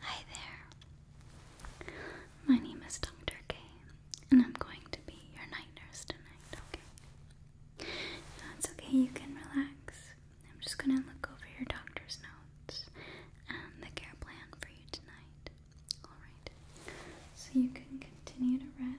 Hi there. My name is Dr. K, and I'm going to be your night nurse tonight, okay? That's okay, you can relax. I'm just gonna look over your doctor's notes and the care plan for you tonight. Alright, so you can continue to rest.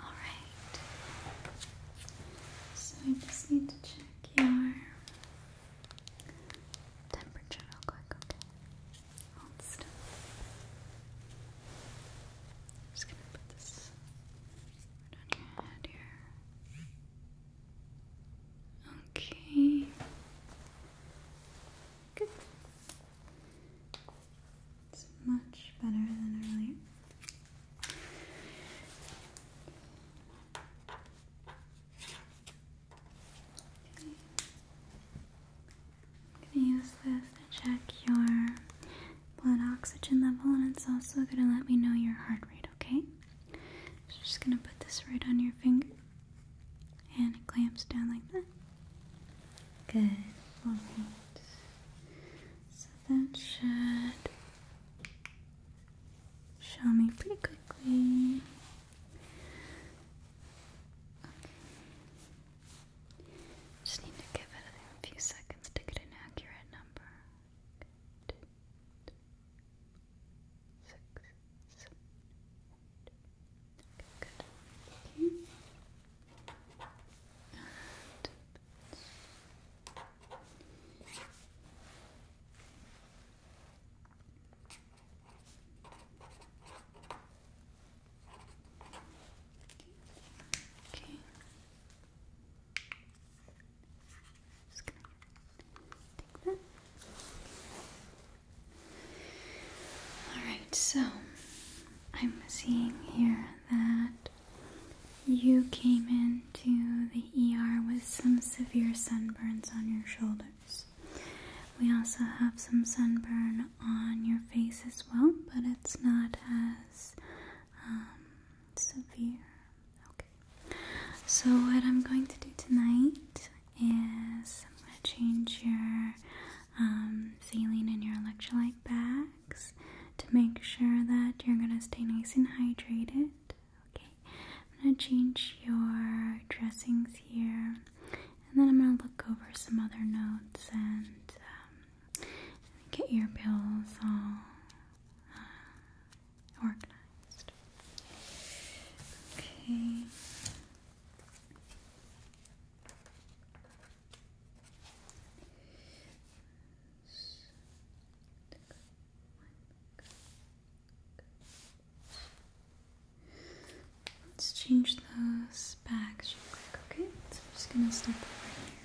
All right. So I just need to check your temperature real quick, okay? Hold still. just gonna put this Okay. Good. It's much better than earlier. I'm going to use this to check your blood oxygen level, and it's also going to let me know your heart rate, okay? I'm just going to put this right on your finger, and it clamps down like that. Good. Alright. So that should show me pretty quickly. Just need to give it a few seconds to get an accurate number. Good. Six, seven, eight. Okay, good. okay. Alright, so I'm seeing here that you came into the ER with some severe sunburns on your shoulders. We also have some sunburn on your face as well, but it's not as um, severe. Okay. So what I'm going to do tonight is I'm going to change your um, saline and your electrolyte bags to make sure that you're going to stay nice and hydrated. Okay. I'm going to change your dressings here, and then I'm going to look over some other notes and. Um, get your bills all uh, organized. Okay. Let's change those bags okay? So I'm just gonna step over here.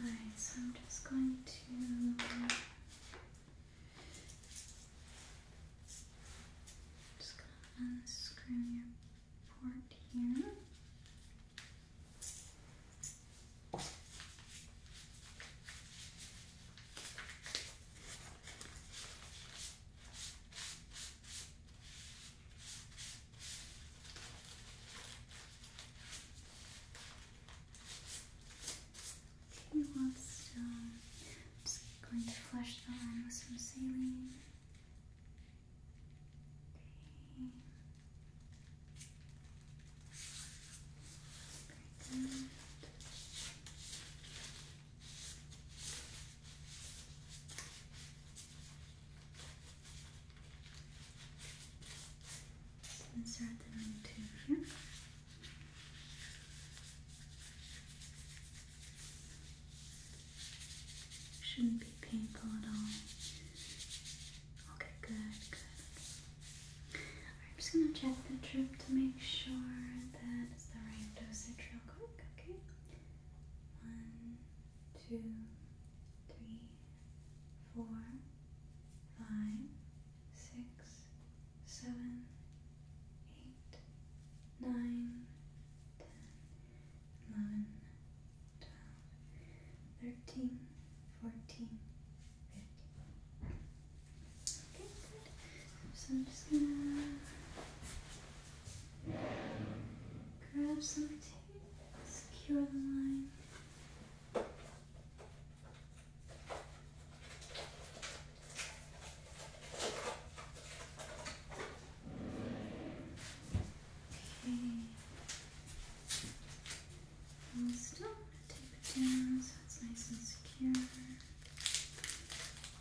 Alright, so I'm just going to just going unscrew your port here. Okay, well, so I'm just going to flush the line with some saline. Okay. Very good. Just insert them into here. Shouldn't be painful at all. Okay, good, good. I'm just gonna check the drip to make sure that it's the right dosage real okay? One, two, three, four, five, six, seven, eight, nine, ten, eleven, twelve, thirteen, fourteen, fifteen. So I'm just gonna grab some tape, secure the line. Okay. I'm still gonna tape it down so it's nice and secure.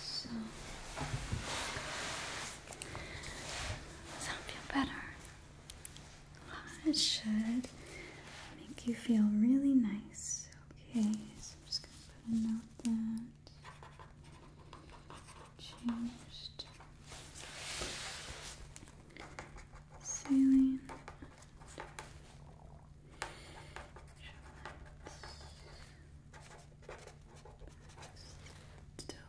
so does that feel better? it should make you feel really nice. Okay, so I'm just gonna put a note that changed saline. Still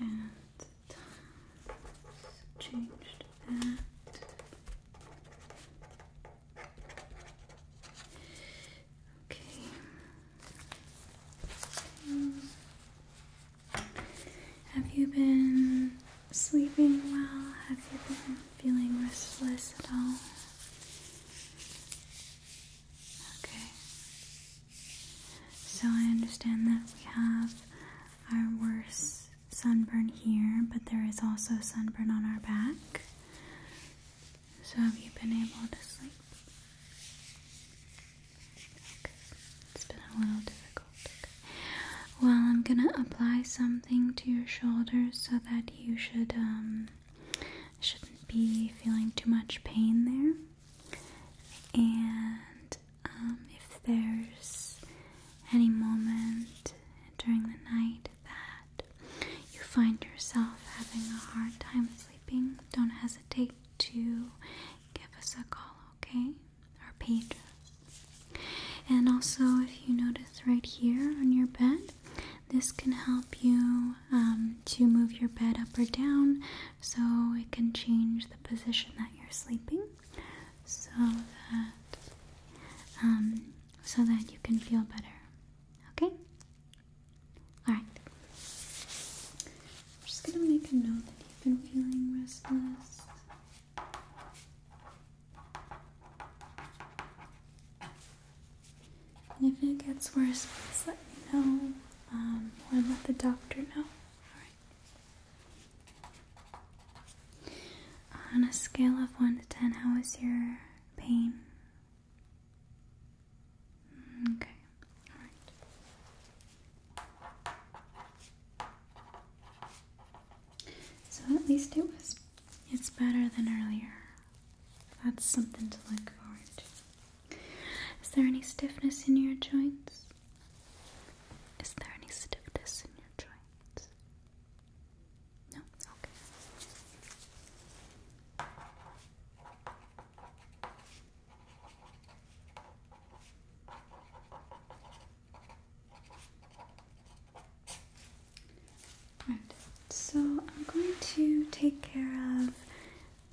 and times changed that. Okay. Have you been sleeping well? Have you been feeling restless at all? Okay. So I understand that we have our worst sunburn here, but there is also sunburn on our back. So have you been able to sleep? It's been a little difficult. Well, I'm gonna apply something to your shoulders so that you should um, shouldn't be feeling too much pain there. And um, if there's any moment during the night that you find yourself having a hard time sleeping, don't hesitate to give us a call, okay? Our pages. And also, if you notice right here on your bed, this can help you um, to move your bed up or down so it can change the position that you're sleeping so that um, so that you can feel better okay all right I'm just gonna make a note that you've been feeling restless. And if it gets worse, please let me know um, or let the doctor know. Alright. On a scale of 1 to 10, how is your pain? Mm, okay. So at least it was it's better than earlier. That's something to look forward to. Is there any stiffness in your joints? Is there any stiffness in your joints? No? Okay. So I'm going to take care of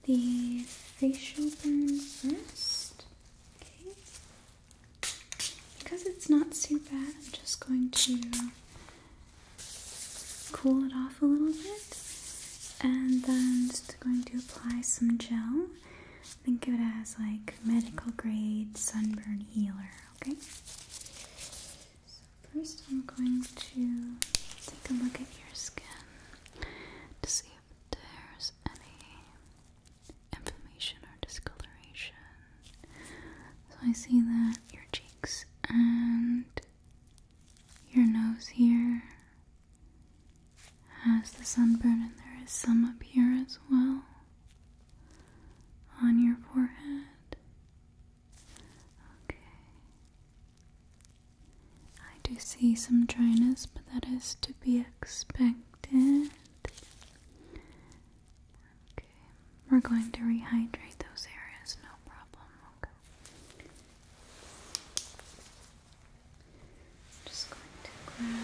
the facial burn first. Okay. Because it's not too bad, I'm just going to cool it off a little bit and then just going to apply some gel Think of it as like medical grade sunburn healer, okay? So first I'm going to take a look at your skin to see if there's any inflammation or discoloration. So I see that your cheeks and your nose here has the sunburn, and there is some up here as well on your forehead. Okay. I do see some dryness, but that is to be expected. Okay, we're going to rehydrate those areas, no problem. Okay just going to grab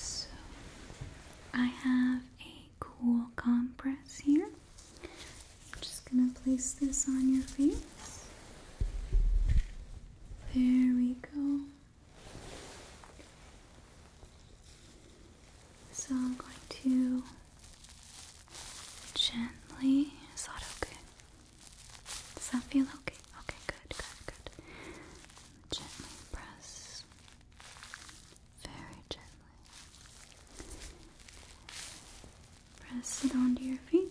So I have a cool compress here. I'm just going to place this on your face. There we go. So I'm going to gently. Is that okay? Does that feel okay? Okay, good, good, good. Gently press. Very gently. Press it onto your face.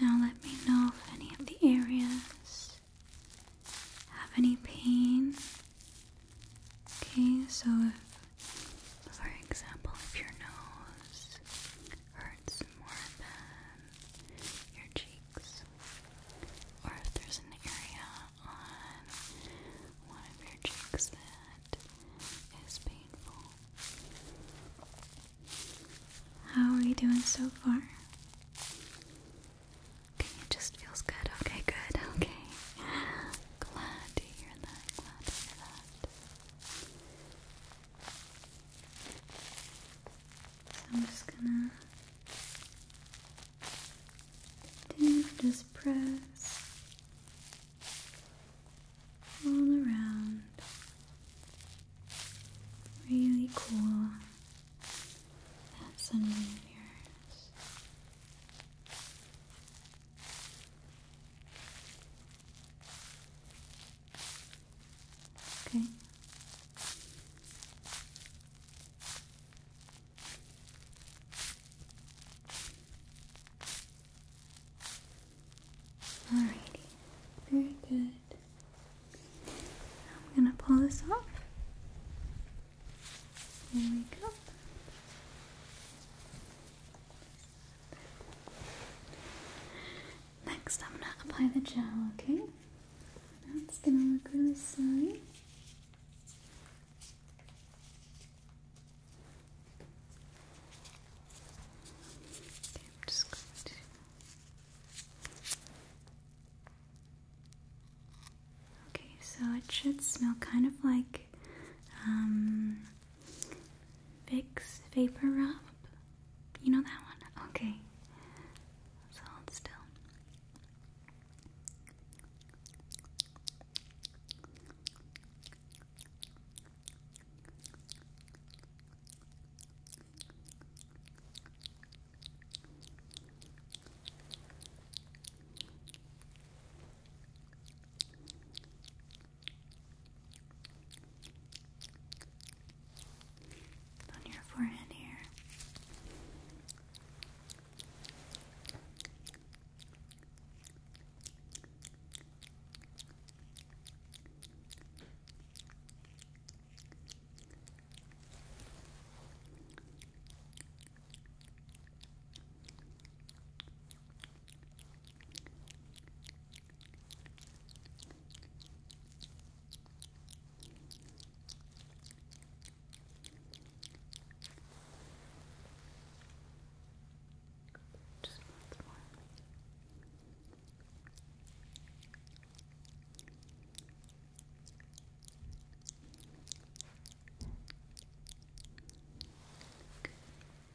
Now let me know if any of the areas have any pain. Okay, so if, for example, if your nose hurts more than your cheeks, or if there's an area on one of your cheeks that is painful, how are you doing so far? Okay, it just feels good. Okay, good. Okay. Glad to hear that. Glad to hear that. So I'm just gonna just press all around. Really cool That's under here. Okay. Alrighty, very good. I'm gonna pull this off. Here we go. Next, I'm gonna apply the gel, okay? that's gonna look really silly. Okay, so it should smell kind of like um Vicks Vapor Rub. You know that one? Okay. hold still. On your forehead here. Just one more.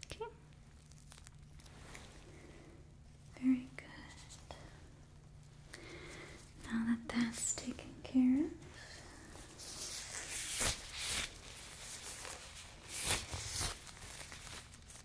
Okay. Very good. Now that that's taken care of,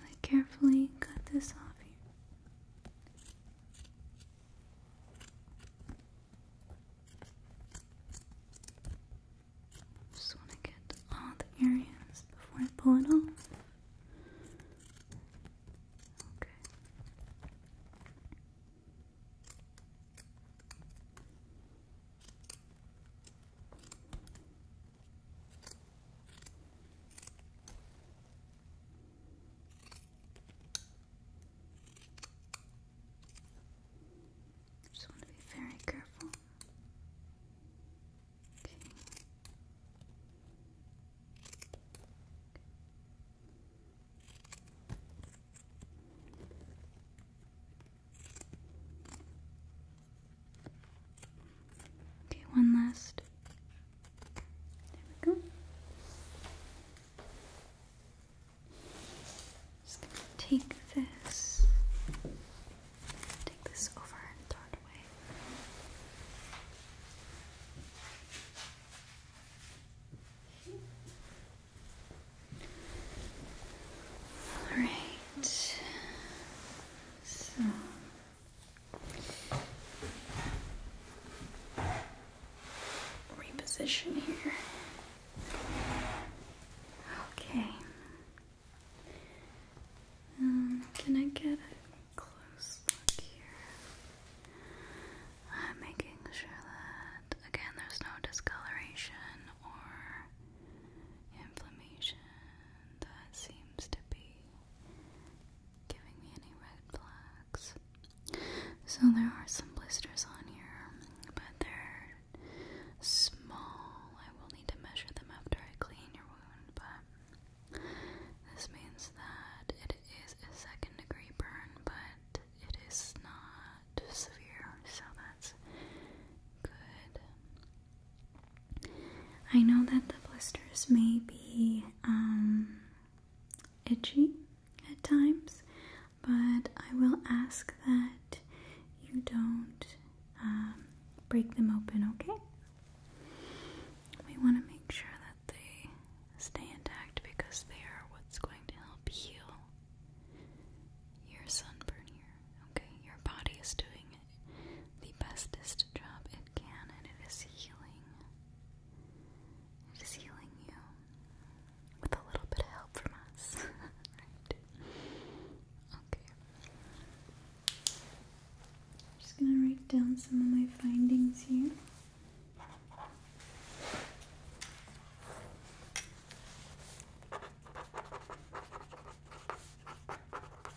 really carefully cut this off here. Just want to get all the areas before I pull it off. Okay. Just want to be very careful. Okay. Okay, one last. There we go. Just gonna take this, take this over and throw it away. All right. Reposition here. Okay. Um, can I get close here? I'm making sure that, again, there's no discoloration or inflammation that seems to be giving me any red flags. So there are some blisters on here, but they're small. I will need to measure them after I clean your wound, but this means that it is a second degree burn, but it is not severe, so that's good. I know that the blisters may be um, itchy at times, but I will ask that you don't um, break them open, okay? We want to make sure that they stay intact because they are what's going to help heal your sunburn here. Okay, your body is doing the bestest job it can, and it is healing. It is healing you with a little bit of help from us. Okay. I'm just gonna write down some of my findings here.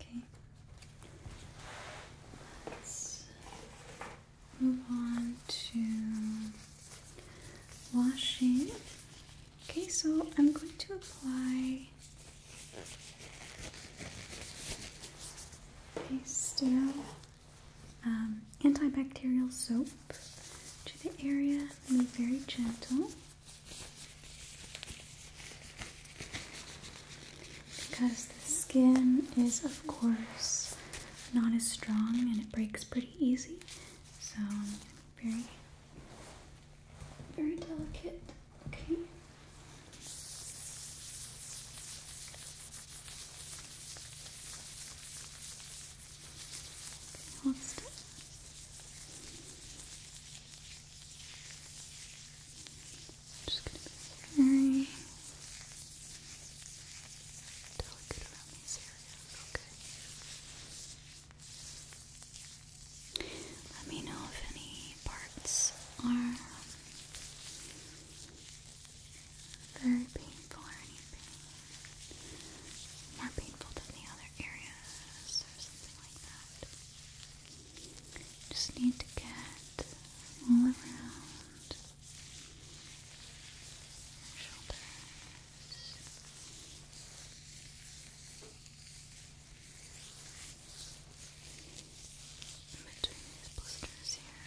Okay. Let's move on to washing. Okay, so I'm going to apply a sterile um, antibacterial soap to the area. Be very gentle because the skin is, of course, not as strong and it breaks pretty easy. So, very, very delicate. Okay. Okay, hold Just gonna be very delicate around this area. okay? Let me know if any parts are very painful or anything. More painful than the other areas or something like that. Just need to get all around shoulders. between these blisters here.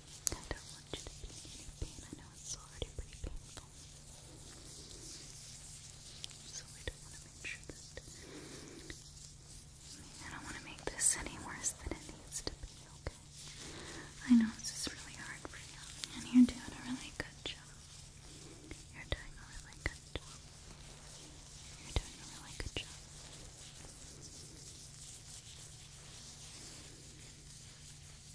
I don't want you to be any pain. I know it's already pretty painful. So we don't want to make sure that... I don't want to make this any worse than it needs to be, okay? I know this is really hard for you, and you're doing a really good job. You're doing a really good job. You're doing a really good job.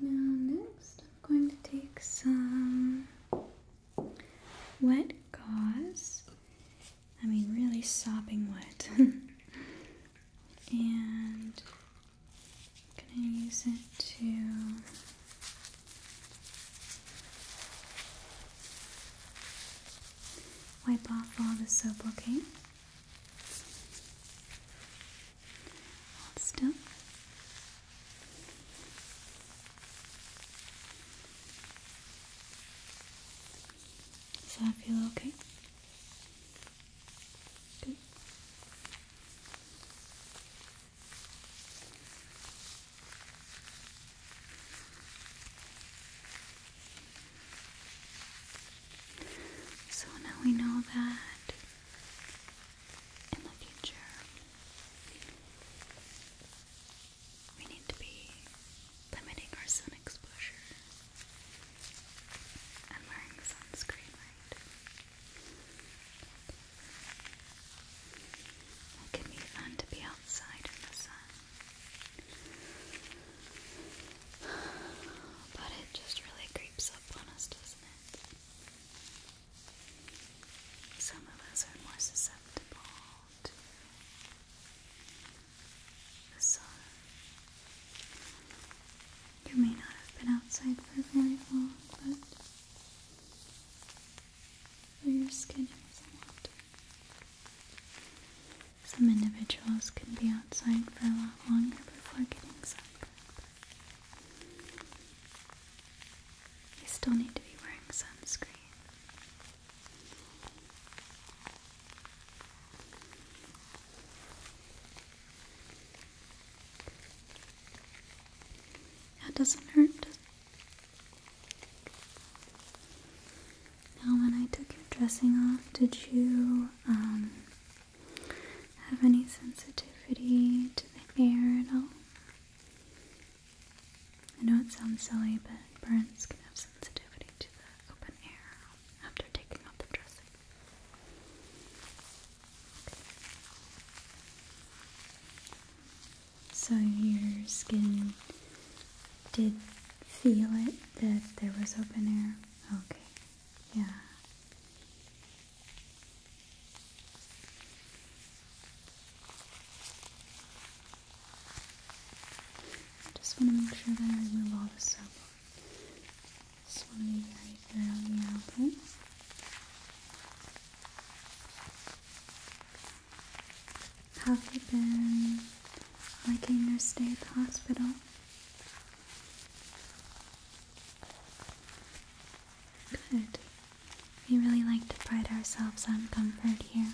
Now, next, I'm going to take some wet gauze. I mean, really sopping wet. and I'm going to use it to. Wipe off all the soap, okay? Hold still. Does that feel okay? Good. So now we know that in the future. We need to be limiting our sun exposure and wearing sunscreen, right? It can be fun to be outside in the sun. But it just really creeps up on us, doesn't it? Some of us are more susceptible to the sun. You may not have been outside for very long, but your skin is water. Some individuals can be outside for a lot longer before getting sunburned. You still need to be wearing sunscreen. That doesn't hurt. Now, when I took your dressing off, did you um, have any sensitivity to the air at all? I know it sounds silly, but burns can have sensitivity to the open air after taking off the dressing. So your skin did feel it that there was open air? Okay. Yeah. I just want to make sure that I remove all the soap. Just want to be very thoroughly open. Have you been liking your stay at the hospital? Good. We really like to pride ourselves on comfort here.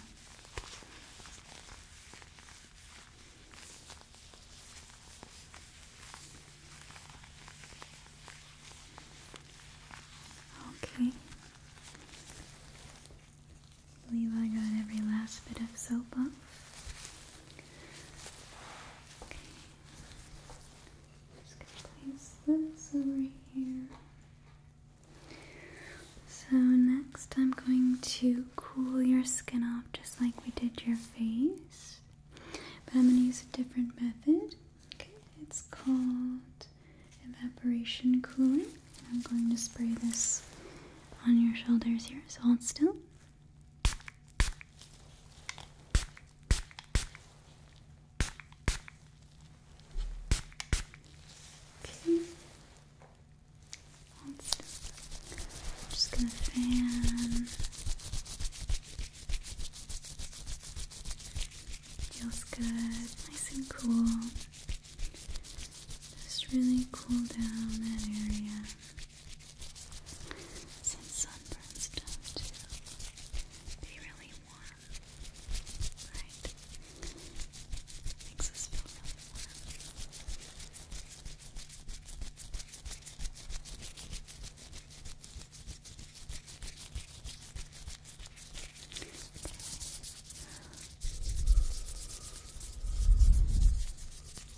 Okay. believe I got every last bit of soap off. Just gonna place this over here. So next I'm going to cool your skin off just like we did your face. But I'm gonna use a different method. Okay, it's called evaporation cooling. I'm going to spray this on your shoulders here, so hold still. Okay. I'm just gonna fan feels good, nice and cool. Just really cool down that area. Since sunburns tend to be really warm, right? Makes us feel really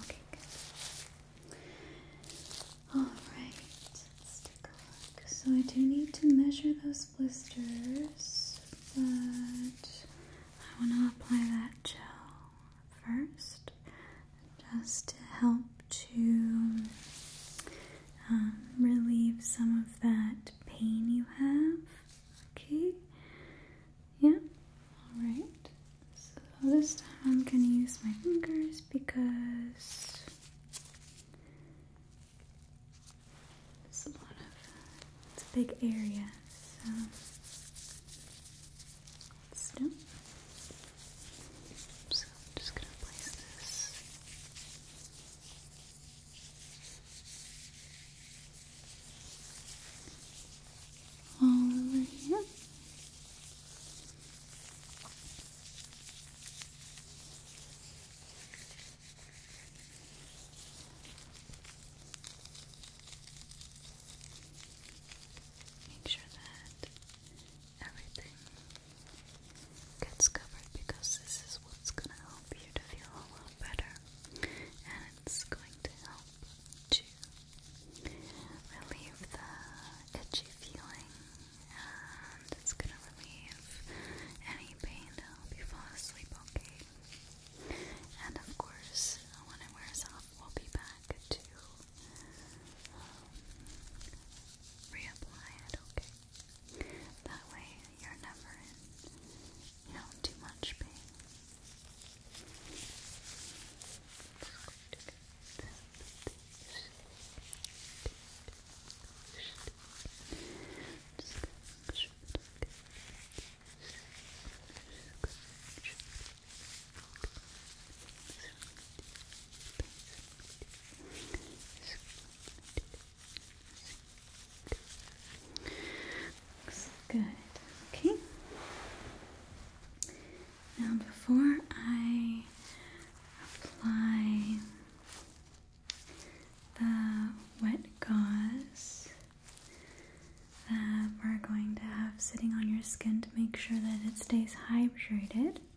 Okay, Alright, So I do need to measure those blisters, but I want to apply that gel first just to help to um, relieve some of that pain you have. Okay? Yeah? Alright. So this time I'm gonna use my fingers because it's a lot of, it's a big area, so. Still. So I'm just going to place this all over here. Make sure that everything gets covered because this is what's gonna help you to feel a lot better and it's going to help to relieve the itchy feeling and it's gonna relieve any pain to will be fall asleep okay and of course when it wears off we'll be back to um, reapply it, okay? That way you're never in, you know, too much pain good. Okay. Now, before I apply the wet gauze that we're going to have sitting on your skin to make sure that it stays hydrated.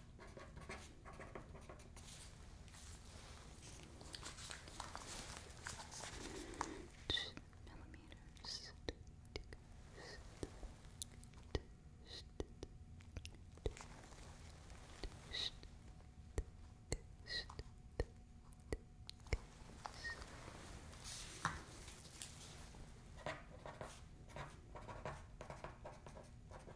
millimeters. Just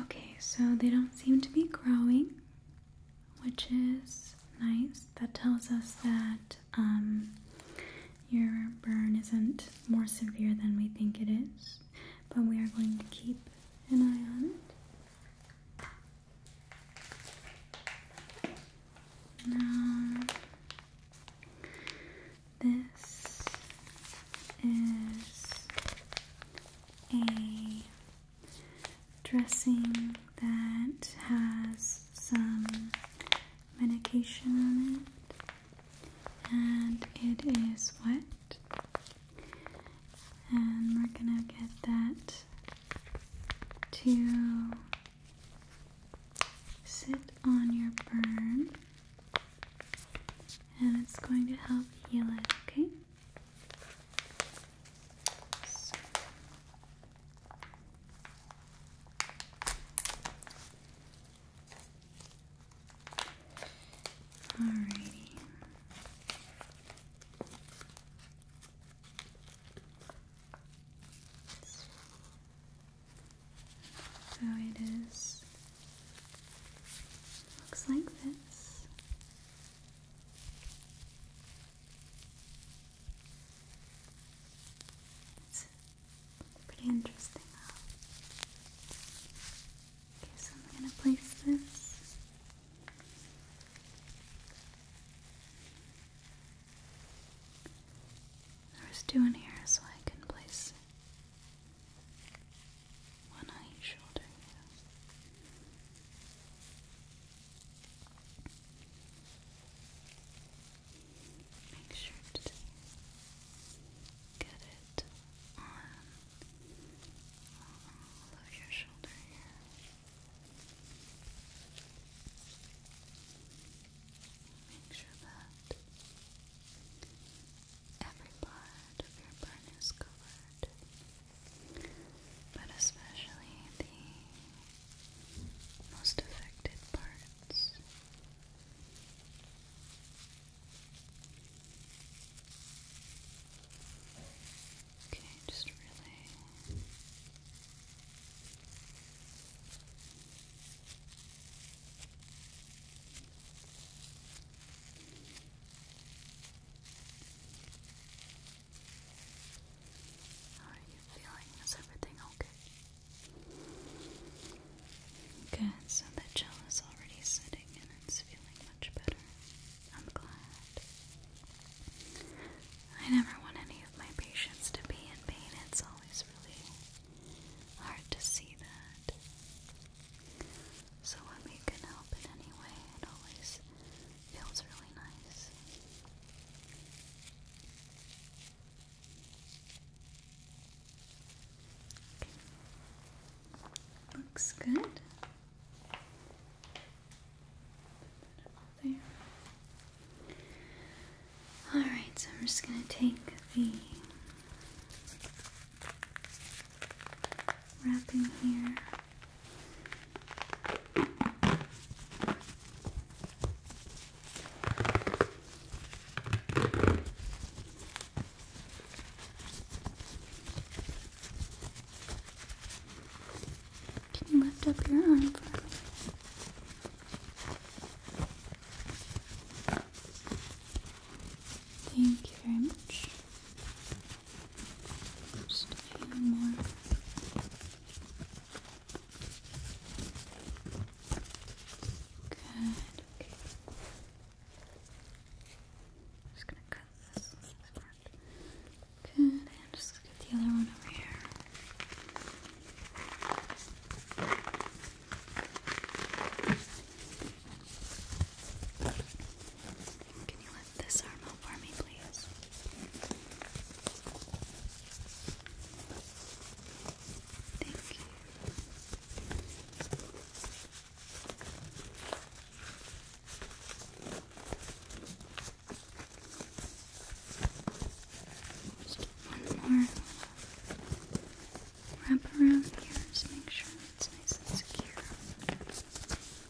Okay, so they don't seem to be growing, which is nice. That tells us that um, your burn isn't more severe than we think it is, but we are going to keep an eye on it. Now, this is a dressing that has some medication on it and it is wet and we're gonna get that to sit on your burn and it's going to help heal it okay so. Alrighty. So it is looks like this. It's pretty interesting Okay, so I'm gonna place this there's two in here so I can place one on each shoulder. Make sure to get it on all of your shoulder here. Make sure that every part of your burn is covered but especially the most affected parts. Okay, just really how are you feeling? Is everything okay? Good, so the gel is already sitting and it's feeling much better. I'm glad. I never want any of my patients to be in pain. It's always really hard to see that. So when we can help in any way, it always Feels really nice. Looks good. there. Alright, so I'm just going to take the wrapping here. Can you lift up your arm for me? Thank you very much. Just a few more. Good. Okay. Just gonna cut this. Good. And just get the other one over here. Can you let this arm up for me, please? Thank you. Just one more wrap around here, just make sure it's nice and secure.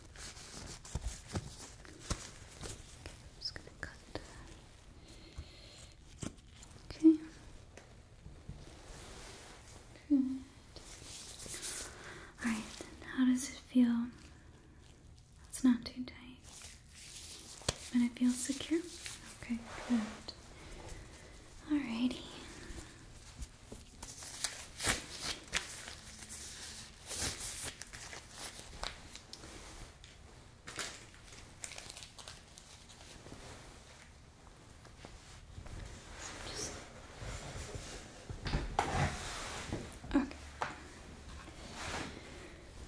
Okay. Good. All right. how does it feel? It's not too tight, but it feel secure. Okay. Good. righty. Okay.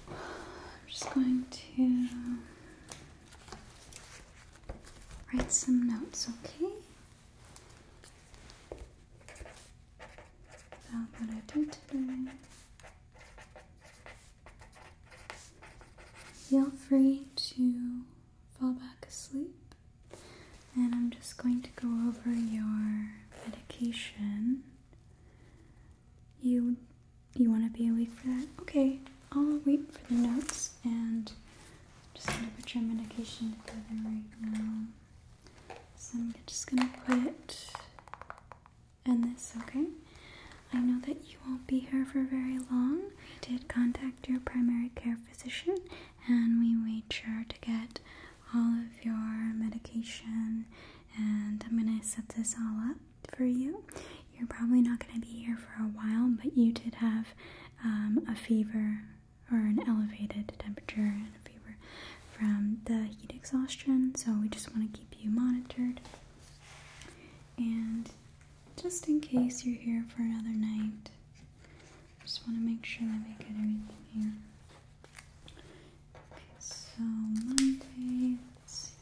I'm just going to write some notes, okay? about what I did today. Feel free to fall back asleep, and I'm just going to go over your medication. You you want to be awake for that? Okay, I'll wait for the notes and just gonna put your medication together right now. So I'm just gonna put and this, okay? I know that you won't be here for very long. We did contact your primary care physician and we made sure to get all of your medication and I'm gonna set this all up for you. You're probably not gonna be here for a while, but you did have um, a fever or an elevated temperature fever from the heat exhaustion. So we just want to keep you monitored. And just in case you're here for another night, just want to make sure that we get everything here. so Monday, let's see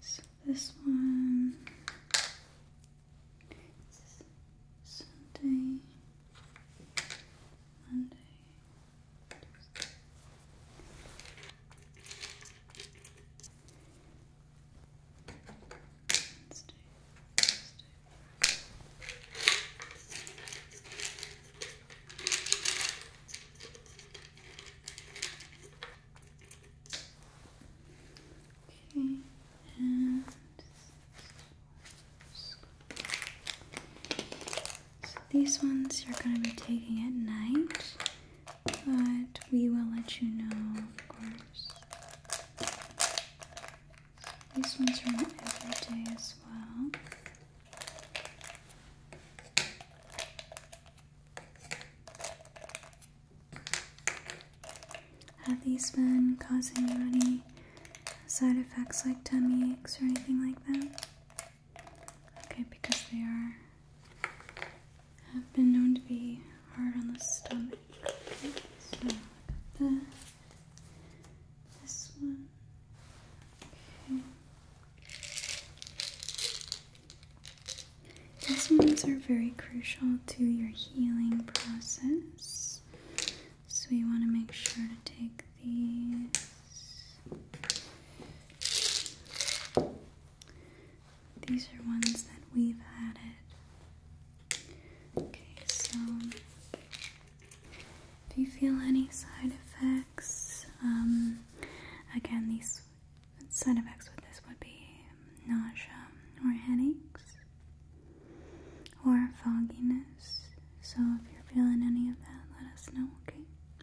so this one Sunday, Monday, Let's do, let's do. Okay, and so these ones you're going to be taking at night, but we will let you know, of course. These ones are every day as well. Have these been causing you any side effects like tummy aches or anything like that? Okay, because they are have been known to be hard on the stomach. so this one. Okay. These ones are very crucial to your healing process. So you want to make sure to take these. These are ones that we've added. Okay, so if you feel any side effects, um, again, these side effects with this would be nausea or headaches or fogginess. So if you're feeling any of that, let us know, okay?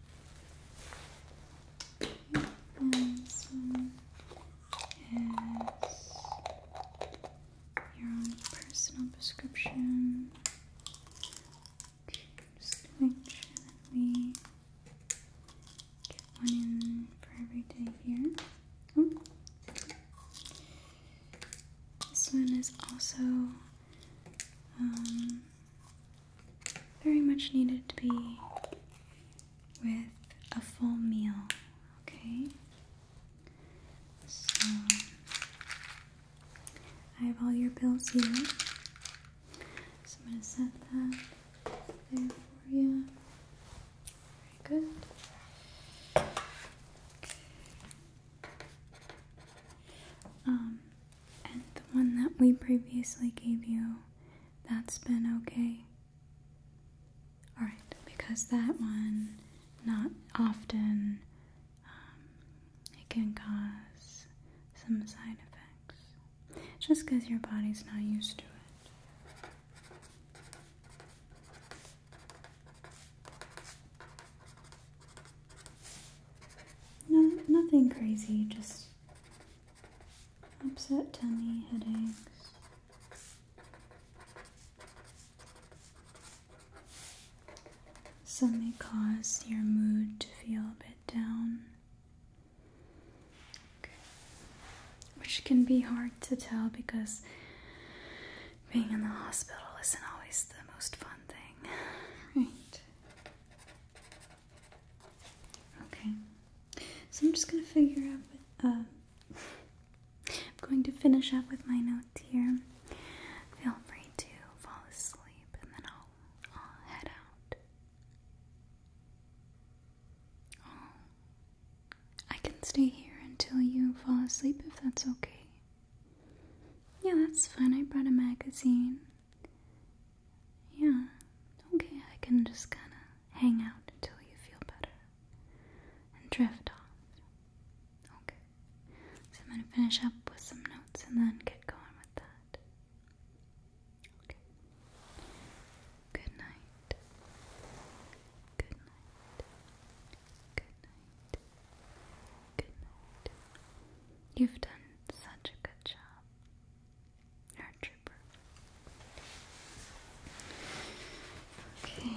This one is your own personal prescription. just make sure that we get one in for every day here. This one is also um, very much needed to be with a full meal, okay? So, I have all your bills here. So, I'm going to set that there for you. Very good. Um, and the one that we previously gave you, that's been okay. Alright, because that one, not often, um, it can cause some side effects just because your body's not used to it. No, nothing crazy, just upset tummy, headaches. Some may cause your mood to feel a bit down, which can be hard to tell because being in the hospital isn't always the most fun thing, right? Okay, so I'm just going to figure out with, uh, I'm going to finish up with my notes here. Feel free to fall asleep and then I'll, I'll head out. Oh, I can stay here until you fall asleep if that's okay. Yeah, that's fine. I brought a magazine. Yeah, okay, I can just kind of hang out until you feel better and drift off. Okay, so I'm going to finish up with some notes and then get going with that. Okay. Good night. Good night. Good night. Good night. You've done such a good job. You're a trooper. Okay.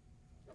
Capsule.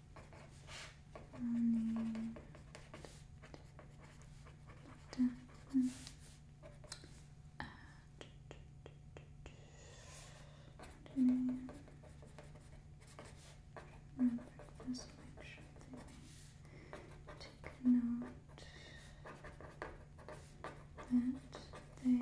And then and remember just make sure that they take note that they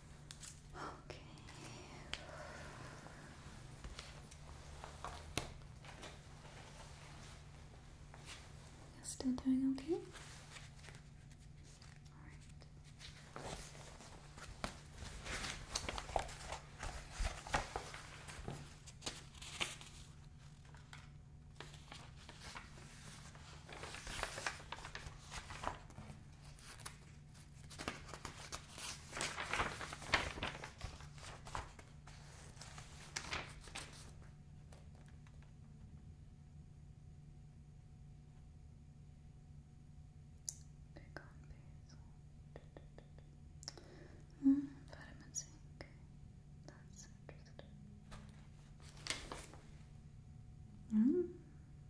Okay. You're still doing okay? All right. Pick on basil. Mm, vitamin zinc. That's interesting. Mm,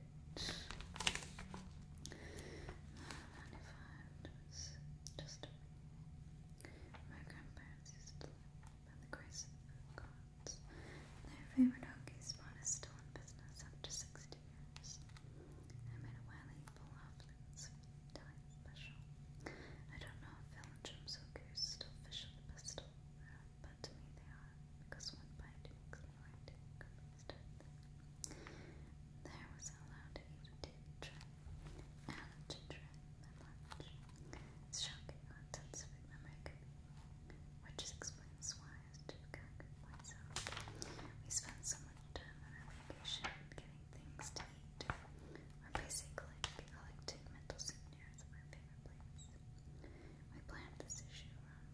bit. Magnified was just my grandparents used to live by the grace of gods. Their favorite hockey spot is still in business after 60 years. I made a wily pull off this time special. I don't know if Phil and Jim Zucker is still fishing the pistol. Perhaps but to me they are, because one bite makes me right and There was allowed to eat a and a ginger at It's shocking how intense memory can be, which explains why I was difficult myself. We spend so much time on our vacation getting things to eat. We're basically collecting mental souvenirs of our favorite places. We planned this issue around